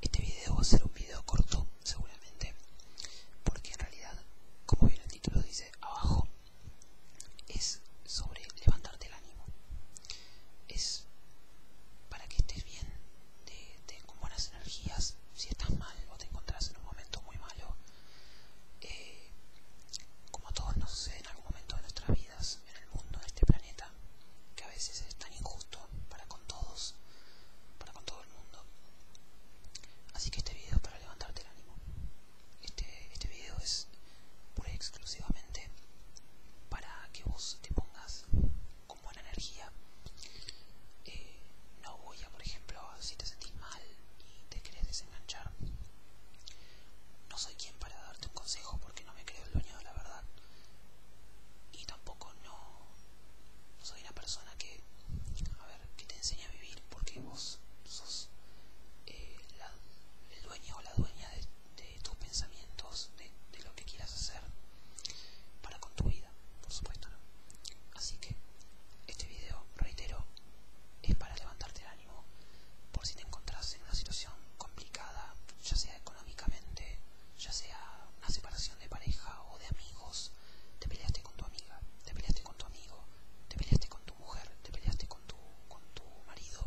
Este video va a ser un video corto, seguramente, porque en realidad, como bien el título dice abajo, es sobre levantarte el ánimo. Es para que estés bien, con buenas energías, si estás mal o te encontrás en un momento muy malo. Eh, como a todos nos sucede en algún momento de nuestras vidas, en el mundo, en este planeta, que a veces es tan injusto para con todos, para con todo el mundo. Así que este video para levantarte el ánimo. Este, este video es pura y exclusivamente para que vos te pongas con buena energía. Eh, no voy a, por ejemplo, si te sentís mal y te querés desenganchar. No soy quien para darte un consejo porque no me creo el dueño de la verdad y tampoco no soy una persona que te enseña a vivir porque vos sos eh, el dueño o la dueña de, tus pensamientos de, lo que quieras hacer para con tu vida por supuesto así que este video reitero es para levantarte el ánimo por si te encontras en una situación complicada ya sea económicamente, ya sea una separación de pareja o de amigos, te peleaste con tu amiga, te peleaste con tu amigo, te peleaste con tu mujer, te peleaste con tu, marido,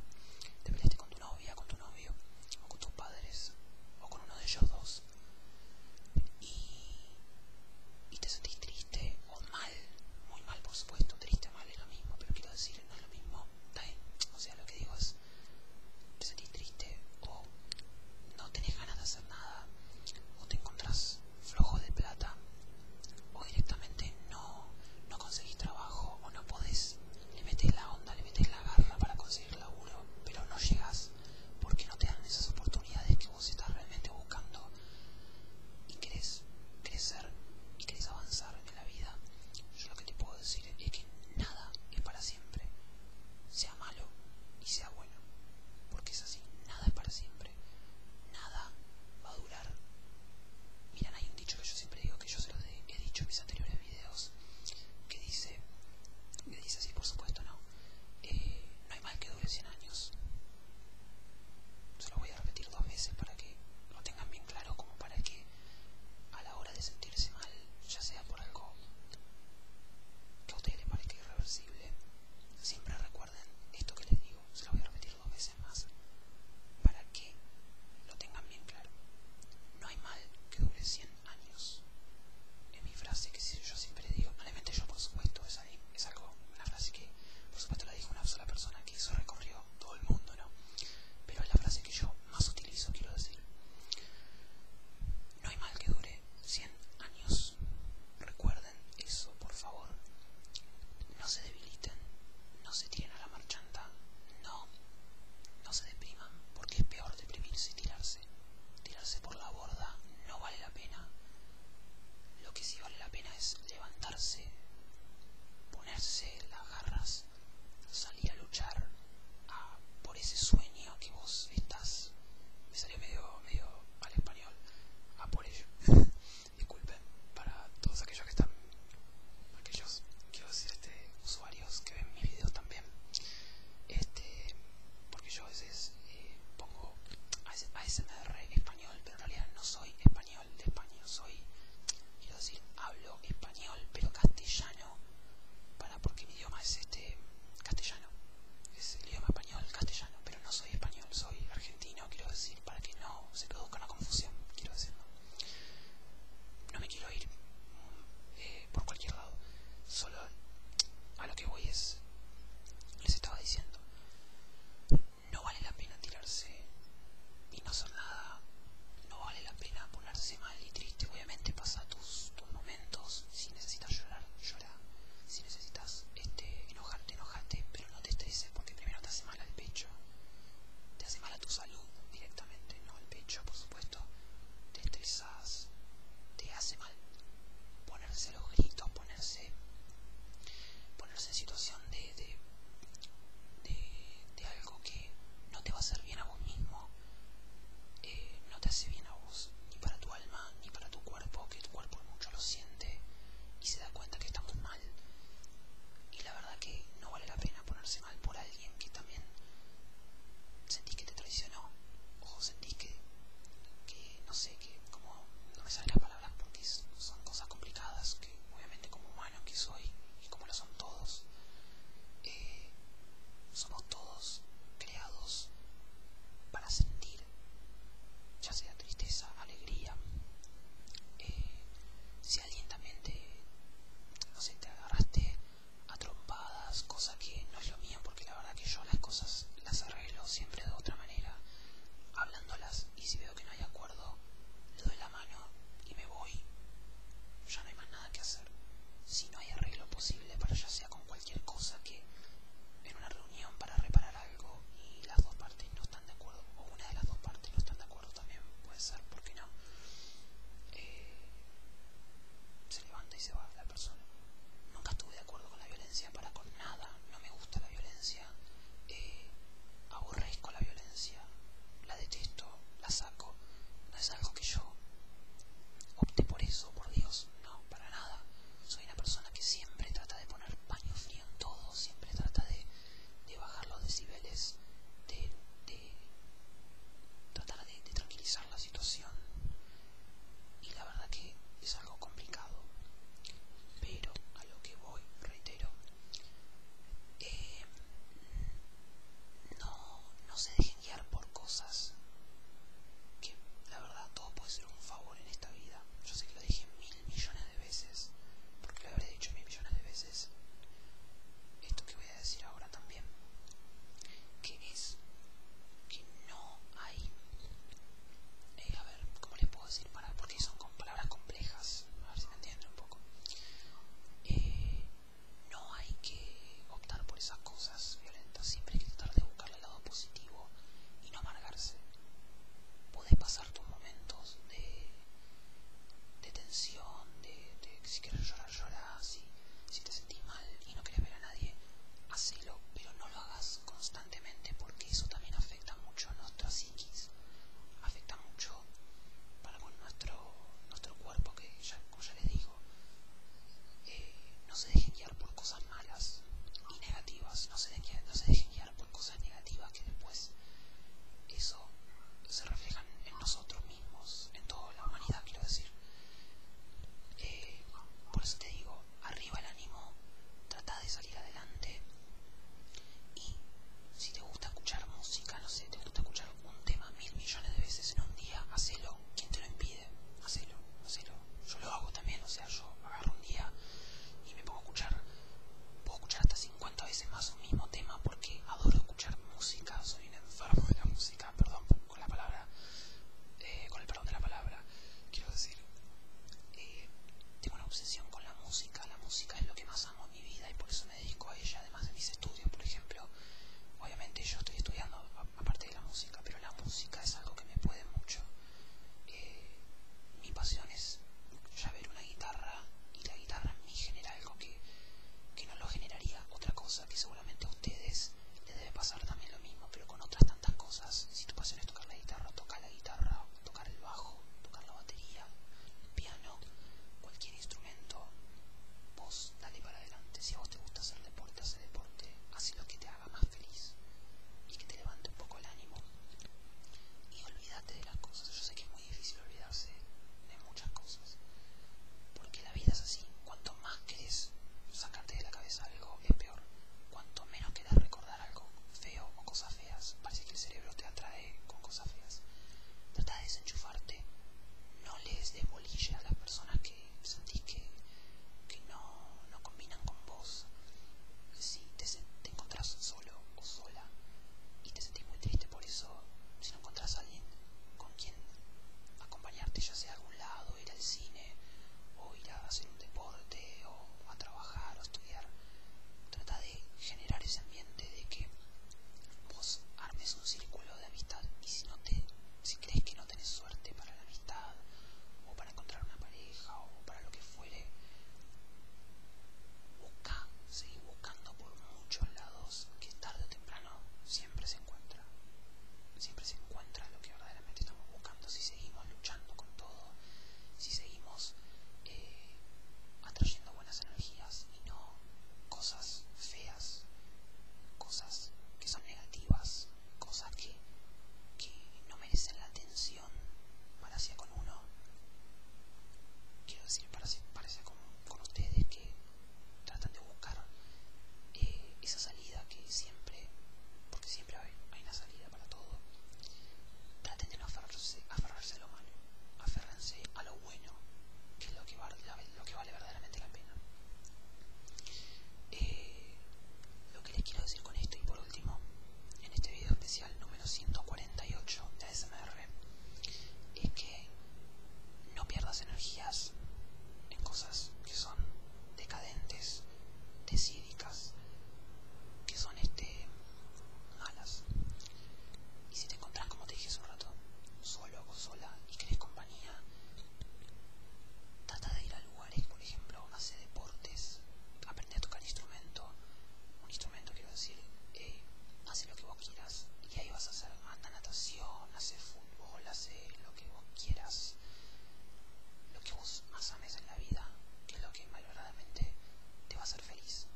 te peleaste con tu novia, con tu novio, o con tus padres, o con uno de ellos dos, y, y te sentís triste o mal, muy mal por supuesto, triste o mal es lo mismo, pero quiero decir, no es lo mismo o sea, lo que digo es, te sentís triste o no tenés ganas de hacer nada o te encontrás flojo de plata o directamente no, no conseguís trabajo o no podés, le metes la onda, le metes la garra para conseguir laburo, pero no llegas porque no te dan esas oportunidades que vos estás realmente buscando y querés crecer y querés avanzar en la vida. Yo lo que te puedo decir es que nada es para siempre, sea malo y sea bueno, porque es así, nada es para siempre, nada va a durar. Miran, hay un dicho que yo siempre digo, que yo se lo he dicho en mis anteriores videos, que dice, que dice así, por supuesto, no, eh, no hay mal que dure 100 años. Se lo voy a repetir dos veces para que lo tengan bien claro como para que a la hora de sentirse mal, ya sea por algo que a usted le parezca irreversible, siempre recuerden esto que les digo, se lo voy a repetir dos veces más, para que lo tengan bien claro. No hay mal que dure 100 años. Es mi frase que yo siempre digo, obviamente yo por supuesto, es, algo, una frase que por supuesto la dijo una sola persona, que eso recorrió todo el mundo, ¿no? Pero es la frase que yo más utilizo, quiero decir. No hay mal que dure 100 años. Recuerden eso, por favor. No se debiliten, no se tiren a la marchanta, no, no se depriman, porque es peor deprimirse y tirarse. Tirarse por la borda no vale la pena. Lo que sí vale la pena es levantarse, ponerse las garras salir a luchar a, por ese sueño que vos estás. Me salió medio, medio al español. A por ello. Disculpen para todos aquellos que están. Aquellos, quiero decir, este, usuarios que ven mis videos también. Este, porque yo a veces eh, pongo ASMR español, pero en realidad no soy español de español, Soy, quiero decir, hablo español, pero castellano, para porque mi idioma es este castellano. Es el idioma español, castellano, pero no soy español, soy argentino, quiero decir, para que no se produzca una confusión, quiero decir, no, me quiero ir eh, por cualquier lado, solo a lo que voy es, les estaba diciendo, no vale la pena tirarse y no hacer nada no vale la pena ponerse mal y triste obviamente pasa tus, momentos si necesitas llorar llora si necesitas este enojarte enojate pero no te estreses porque primero te hace mal al pecho te hace mal a tu salud directamente no al pecho por supuesto te estresas te hace mal ponerse los gritos ponerse ponerse en situación de de, de, de que no te va a hacer bien a vos mismo, eh, no te hace bien a vos, ni para tu alma, ni para tu cuerpo, que tu cuerpo mucho lo siente y se da cuenta que estamos mal. Y la verdad que no vale la pena ponerse mal por alguien que también sentís que te traicionó, o sentís que, que no sé, que como no me sale las palabras porque son cosas complicadas, obviamente como humano que soy y como lo son todos, eh, somos todos creados para sentir, ya sea tristeza, alegría. Eh, si alguien también te, no sé, te agarraste a trompadas, cosa que no es lo mío, porque la verdad que yo las cosas las arreglo siempre de otra manera, hablándolas, y si veo que no hay acuerdo, le la y me voy. Ya no hay más nada que hacer. Si no hay arreglo posible para ya sea con cualquier cosa que en una reunión para reparar algo y las dos partes no están de acuerdo, o una de las dos partes no están de acuerdo también puede ser, ¿por qué no? Eh, se levanta y se va la persona. Nunca estuve de acuerdo con la violencia para con nada, no me gusta la violencia. Eh, aborrezco la violencia, la detesto, la saco, no es algo que yo opte por eso, por Dios, no, para nada. Soy una persona que siempre trata de poner paño frío en todo, siempre trata de, de bajar los decibeles, de, tratar de tranquilizar la situación. Y la verdad que es algo complicado. Pero a lo que voy, reitero, eh, no, no se dejen guiar por cosas que la verdad todo puede ser un favor en esta vida. Yo sé que lo dije mil millones de veces, porque lo habré dicho mil millones de veces. Esto que voy a decir ahora también, que es que no hay... Eh, a ver, ¿cómo le puedo decir? Para, porque son palabras complejas un poco. Eh, no hay que optar por esas cosas violentas, siempre hay que tratar de buscar el lado positivo y no amargarse. Puedes pasar tus momentos de, tensión, de, que si quieres llorar, llorar, si, te sentís mal y no quieres ver a nadie, hacelo, pero no lo hagas constantemente porque eso también afecta mucho a nuestra psiquis, afecta mucho para con nuestro, cuerpo que ya, como ya les digo eh, no se dejen guiar por cosas malas y negativas no se, dejen, guiar por cosas negativas que después eso se reflejan en nosotros mismos en toda la humanidad quiero decir eh, por eso te digo arriba el ánimo trata de salir adelante y si te gusta escuchar música, no sé, te gusta escuchar un tema mil millones de veces en un día, hacelo. ¿Quién te lo impide? Hacelo, hacelo. Yo lo hago también, o sea, yo agarro un día y me pongo a escuchar, puedo escuchar hasta 50 veces más un mismo tema porque adoro escuchar música, soy un enfermo de la música, perdón con la palabra, eh, con el perdón de la palabra, quiero decir, eh, tengo una obsesión con la música, la música es lo que más mi vida y por eso me dedico a ella, además de mis estudios, por ejemplo. Obviamente yo estoy estudiando aparte de la música, pero la música es algo que me puede mucho. Eh, mi pasión es ya ver una guitarra y la guitarra me genera algo que, que no lo generaría otra cosa, que seguramente a ustedes les debe pasar también lo mismo, pero con otras tantas cosas. Si tu pasión es tocar la guitarra, toca la guitarra tocar el bajo, tocar la batería, el piano, cualquier instrumento, vos dale para adelante. Si a vos te gusta hacer deporte, haz deporte, haz lo que te haga más feliz y que te levante un poco el ánimo. Y olvídate de las cosas. Yo sé que es muy difícil olvidarse de muchas cosas. Porque la vida es así. Cuanto más querés sacarte de la cabeza algo, es peor. Cuanto menos querés recordar algo feo o cosas feas. Parece que el cerebro te atrae con cosas feas. Trata de desenchufarte. No les des a las personas que sentís que, no, combinan con vos. Si te, encontrás solo o sola y te sentís muy triste por eso, si no encontrás a alguien con quien acompañarte, ya sea a algún lado, ir al cine o ir a hacer un deporte o a trabajar trata de generar ese ambiente de que vos armes un círculo de amistad y si crees que no tenés suerte para la amistad o para encontrar una pareja o para lo que fuere, busca, seguí buscando por muchos lados que tarde o temprano siempre se encuentra, siempre se encuentra lo que verdaderamente estamos buscando si seguimos luchando con todo, si seguimos eh, atrayendo energías y no cosas feas, cosas que son negativas, cosas que, no merecen la atención para con uno. Quiero decir, parece parece con, ustedes que tratan de buscar eh, esa salida que siempre, porque siempre hay, una salida para todo, traten de no aferrarse a lo malo aférrense a lo bueno, que es lo que, lo que vale verdaderamente la pena. Eh, lo que les quiero decir con esto y por último, en este video especial número 148 de ASMR, es que no pierdas energías en cosas que son decadentes, desídicas, que son este malas. Y si te encontrás, como te dije hace un rato, solo o sola y querés compañía, trata de ir a lugares, por ejemplo, hacer deportes, aprender a tocar instrumento, un instrumento quiero decir, eh, hace lo que vos quieras y ahí vas a hacer, anda natación, hace fútbol, hace lo que vos quieras, lo que vos más ames en la vida, que es lo que mayoradamente te vas a feliz.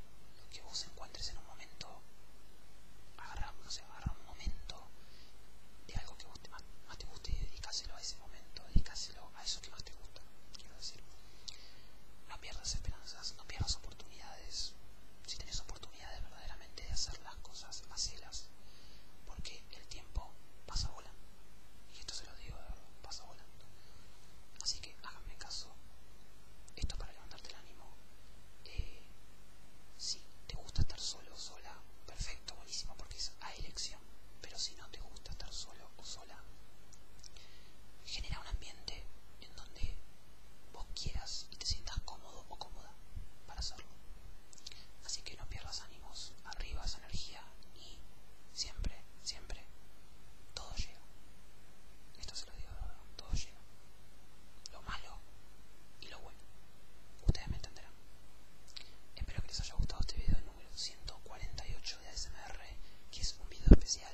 Lo que vos encuentres en un momento, agarra, un momento de algo que más, te guste y dedícaselo a ese momento, dedícaselo a eso que más te gusta, quiero decir. No pierdas esperanzas, no pierdas oportunidades. Si tenés oportunidades verdaderamente de hacer las cosas, hacelas. Porque el tiempo pasa volando Y esto se lo digo de verdad, pasa volando que háganme caso. Esto para levantarte el ánimo. Eh, si te gusta estar solo o sola, perfecto, buenísimo, porque es a elección. Pero si no te gusta estar solo o sola, genera un ambiente en donde vos quieras y te sientas cómodo o cómoda para hacerlo. Así que no pierdas ánimos, arriba esa energía y siempre siempre, todo llega. Esto se lo digo, todo llega. Lo malo y lo bueno. Ustedes me entenderán. Espero que les haya gustado este video número 148 de ASMR, que es un video especial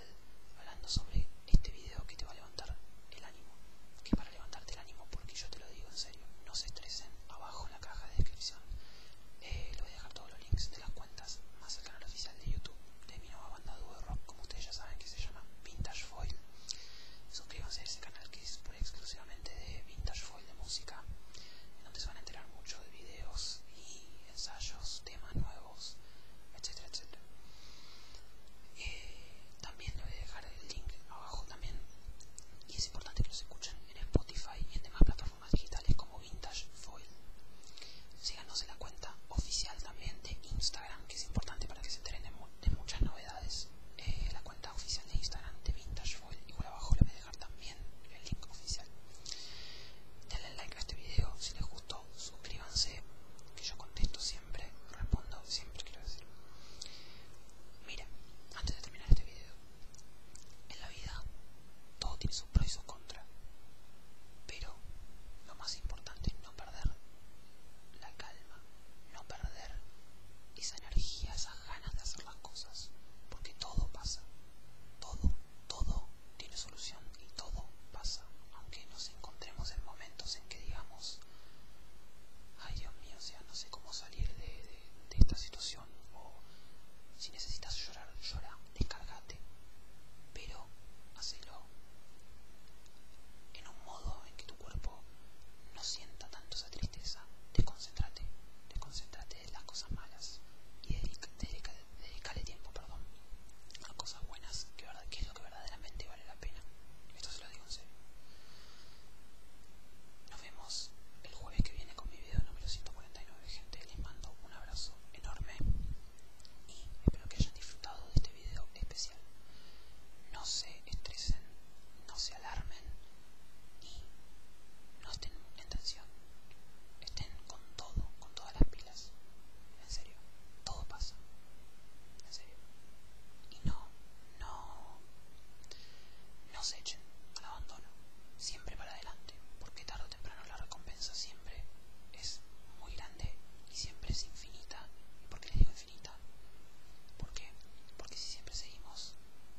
hablando sobre este video que te va a levantar el ánimo. Que para levantarte el ánimo, porque yo te lo digo en serio, no se estresen abajo en la caja de descripción. Eh, voy a dejar todos los links de las cuentas más el canal oficial de YouTube de mi nueva como ustedes ya saben, que se llama Vintage Foil. Suscríbanse a ese canal que es exclusivamente de Vintage Foil de música, en donde se van a enterar mucho de videos y ensayos, temas nuevos, etcétera, etcétera. Eh, también les voy a dejar el link abajo también y es importante que los escuchen en Spotify y en demás plataformas más digitales como Vintage Foil. Síganos en la cuenta oficial también de Instagram, que es importante para que se enteren de, muchas novedades. Eh, la cuenta oficial de Instagram de Vintage Foil, igual abajo le voy a dejar también el link oficial. Denle like a este video si les gustó, suscríbanse, que yo contesto siempre, respondo siempre, quiero decir. Mira, antes de terminar este video, en la vida todo tiene pro y su contra. Pero lo más importante es no perder la calma, no perder esa energía, esas ganas de hacer las cosas, porque todo pasa, todo, todo tiene solución y todo pasa, aunque nos encontremos en momentos en que digamos, ay Dios mío, o sea, no sé cómo salir de, esta situación, o si necesitas llorar, llora, descargate, pero hacelo en un modo en que tu cuerpo no sienta tanto esa tristeza. Desconcentrate, desconcentrate de las cosas malas y dedica, tiempo perdón, a cosas buenas, que, que es lo que verdaderamente vale la pena. Esto se lo digo en serio. Nos vemos el jueves que viene con mi video número 149, gente. Les mando un abrazo enorme y espero que hayan disfrutado de este video especial. No se estresen, no se alarmen y no estén en tensión. Estén con todo, con todas las pilas. En serio, todo pasa. En serio. Y no, no, no se echen al abandono. Siempre para adelante, porque tarde temprano la recompensa siempre es muy grande y siempre es infinita. ¿Y por qué les digo infinita? Porque si siempre seguimos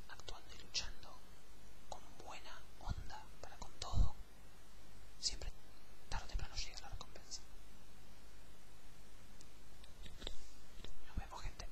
actuando y luchando con buena onda para con todo, siempre tarde o temprano llega la recompensa. Nos vemos gente.